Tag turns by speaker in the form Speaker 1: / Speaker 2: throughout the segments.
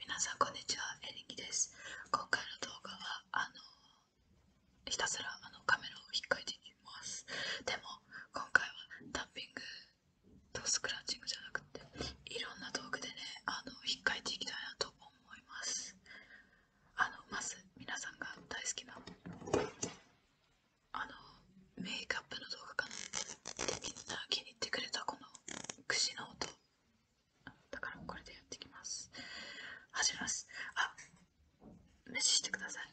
Speaker 1: 皆さんこんにちは、エリキです。今回の動画はあのひたすらあのカメラを引っかいていきます。でも今回はタッピングとスクラッチングじゃなくていろんな道具でねあの引っかいていきたいなと思います。あのまず皆さんが大好きなあのメイクアップの動画かなでみんな気に入ってくれたこの串の音だからこれでやってきます始めますあ無視してください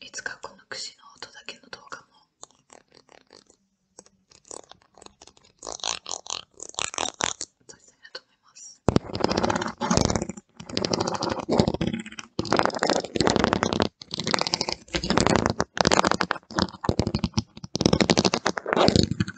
Speaker 2: いつかこの串の音だけの動画も撮りたいなと思います。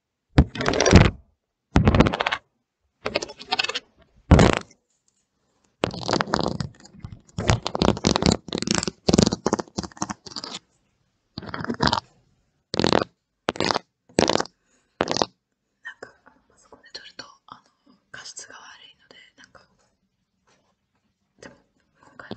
Speaker 2: なんかパソコンで撮るとあの画質が悪いのでなんかでも今回は。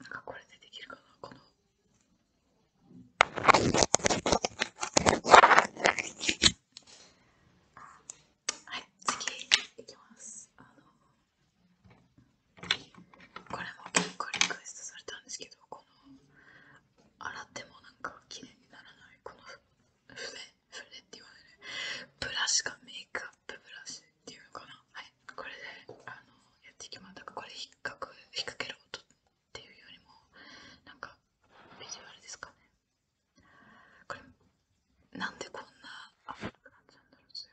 Speaker 1: なんかこれでできるかなこの。はい、次いきます。あのこれも今回、リクエストされたんですけど、この洗ってもなんか綺麗にならないこの筆、筆って言われるブラシがメイクアップブラシっていうかなはいこれであのやっていきますだからこれ引っかく引っ掛ける音っていうよりもなんかビジュアルですかねこれなんでこんなあっなっちんだろうちく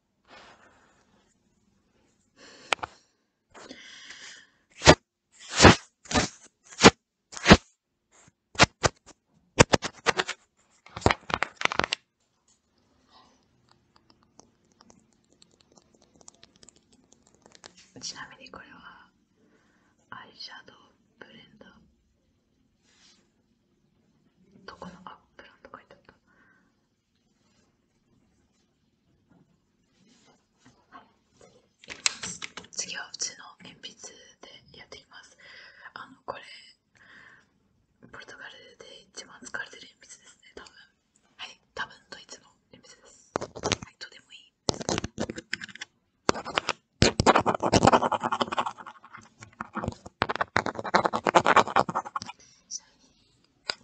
Speaker 1: ちなみにこれはアイシャドウブレンド。どこのアップランと書いてあった次はうちの鉛筆でやっていきます。あのこれポルトガルで一番使われてる鉛筆ですね、多分。はい、多分ドイツの鉛筆です。はい、とてもいいですそれに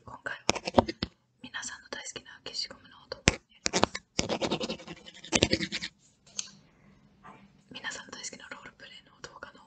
Speaker 1: 今回は皆さんの大好きな消しゴムの音皆さんの大好きなロールプレイの動画の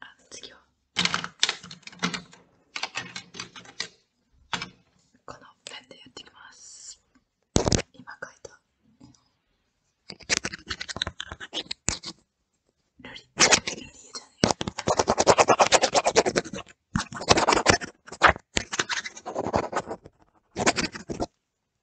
Speaker 2: あ次はこのペンでやっていきます今描いたルリルリエじ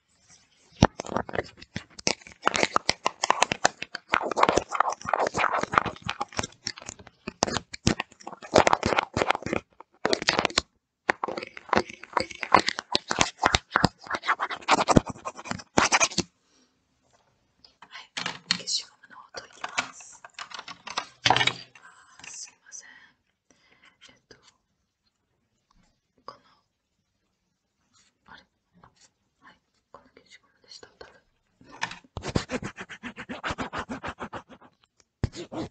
Speaker 2: 消しゴムの音います。すいません。えっとこのあれはいこの消でした多分どう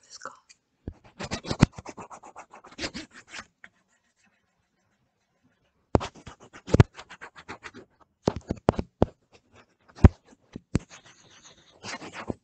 Speaker 2: ですか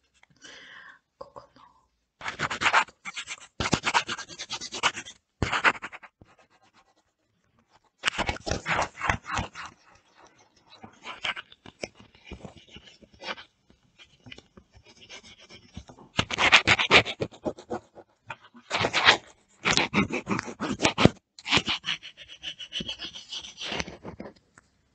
Speaker 2: ここの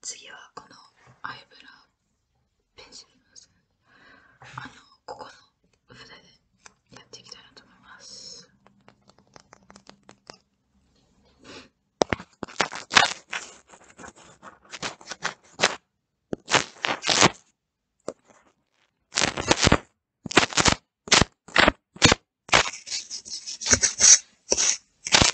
Speaker 2: 次はこのアイブラペンシルの線あのここの筆でやっていきたいなと思います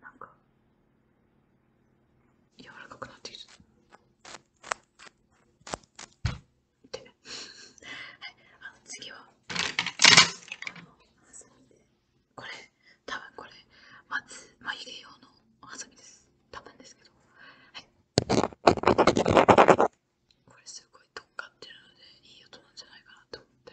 Speaker 2: なんか柔らかくなってきた。で。はい、あの次はこのハサミこれ多分これまず眉毛用のハサミです多分ですけどこれすごいとっかってるのでいい音なんじゃないかなと思って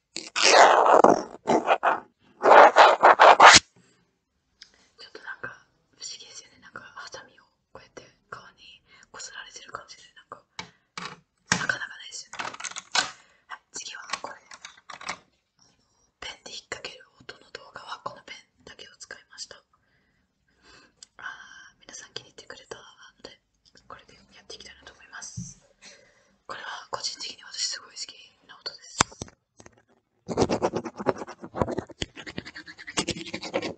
Speaker 1: ちょっとなんか不思議ですよねなんかハサミをこうやって顔にこすられてる感じでなんかなかなかないですよね次はこれペンで引っ掛ける音の動画はこのペンだけを使いましたあ皆さん気に入ってくれたのでこれでやっていきたいなと思いますこれは個人的に私すごい好きな音です私なんにしないでく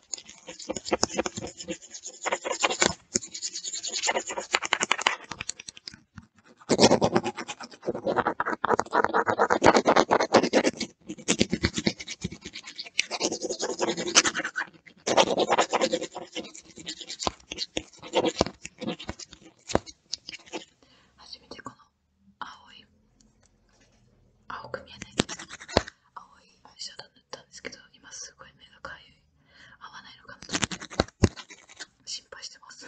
Speaker 1: 初めてこ
Speaker 2: の青い青く見えない青いアイシたんですけど、今すごい目がかい。合わないのかな心配してます。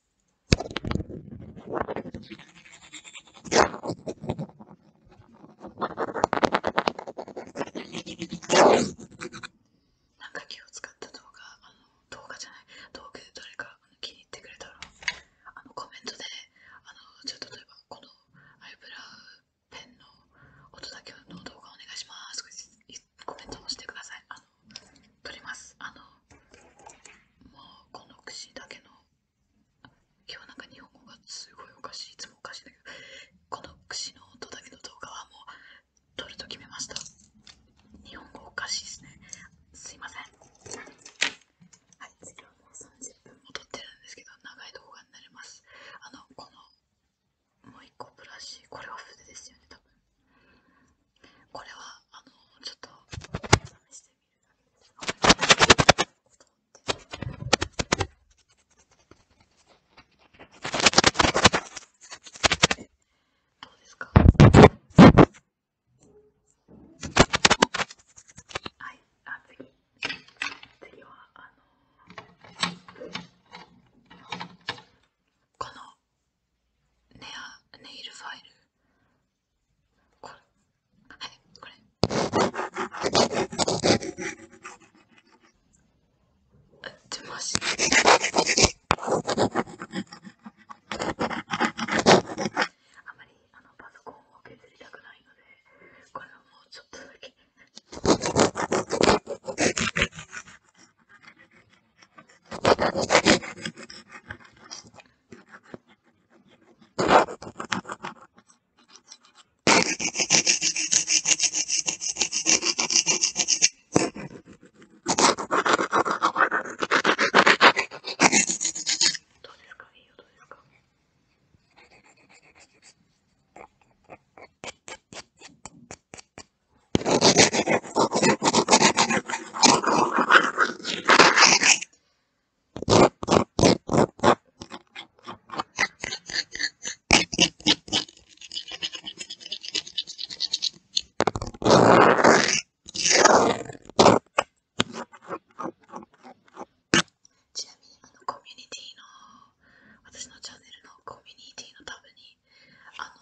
Speaker 1: なんか気を使った動画、あの動画じゃない、動画で誰か気に入ってくれたら、あのコメントで、あのちょっ例えばこのアイブラウンペンの音だけの動画お願いしますコメントもしてくださいあの撮りますあのもうこの串だけの今日なんか日本語がすごいおかしいいつもおかしいんだけどこの串の音だけの動画はもう撮ると決めました日本語おか
Speaker 2: しいですねすいませんはい次はもう30分も撮ってるんですけど長い動画になりますあのこのもう一個
Speaker 1: ブラシこれは筆ですよね多分これはあのちょっと試してみるだけですがどうですかはいあ次次はあのこのネアネイルファイルこれはいこれ出ましあまりあのパソコンを削りたくないのでこれはもうちょっとだけどれかいいよ、
Speaker 2: どれか。ちなみにあのコミュニティの私のチャンネルのコミュニティのためにあの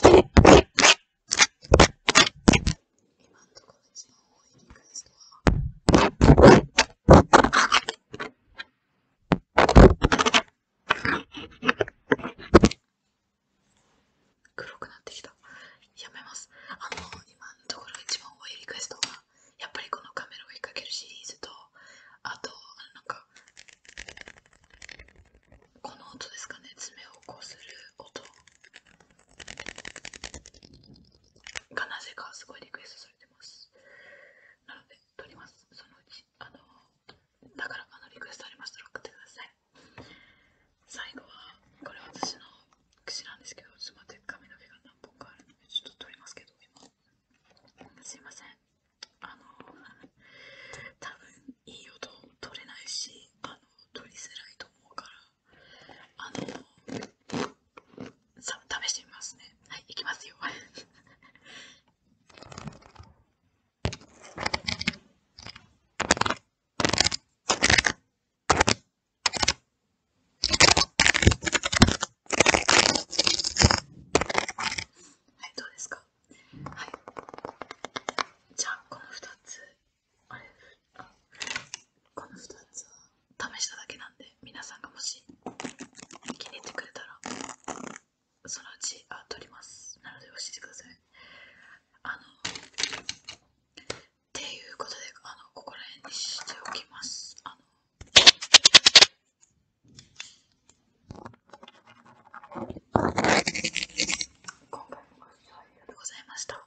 Speaker 2: 今のところ一番い
Speaker 1: 黒くなってきた。やめます。あの、今のところ一番多いリクエストは、やっぱりこのカメラを引っけるシリーズと、あと、あのなんか、この音ですかね爪をこする音がなぜかすごいリクエストされてますなので撮りますそのうちあのだからあのリクエストありましたら送ってください最後はこれ私の櫛なんですけどちょっと待って髪の毛が何本かあるのでちょっと撮りますけど今すいませんあの多分いい音取れないしあの取りづらいと思うからあのさ試してみますねはいいきますよはいどうですかはいじゃあこの2つあれこの2つは試しただけなんで皆さんがもし気に入ってくれたらそのうちあ取りますなので教えてくださいあのっていうことであのここら辺にしておきますあの今回もご視聴ありがとうございました。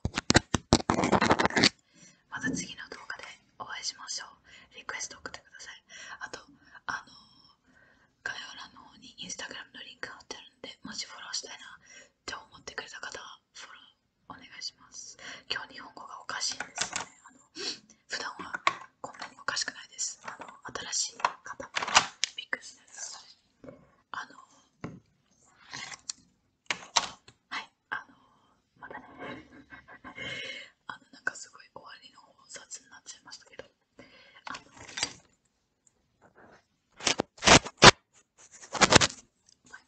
Speaker 1: また次の動画でお会いしましょう。リクエスト送ってください。あと、あの概要欄の方にインスタグラムのリンクが貼ってあるので、もしフォローしたいなって思ってくれた方はフォローお願いします。今日日本語がおかしいんですよね。あの普段はこんなにおかしくないです。あの新しい方もッグになるあのはい、あのまたね あのなんかすごい終わりの札になっちゃいましたけど、あのバイバイ。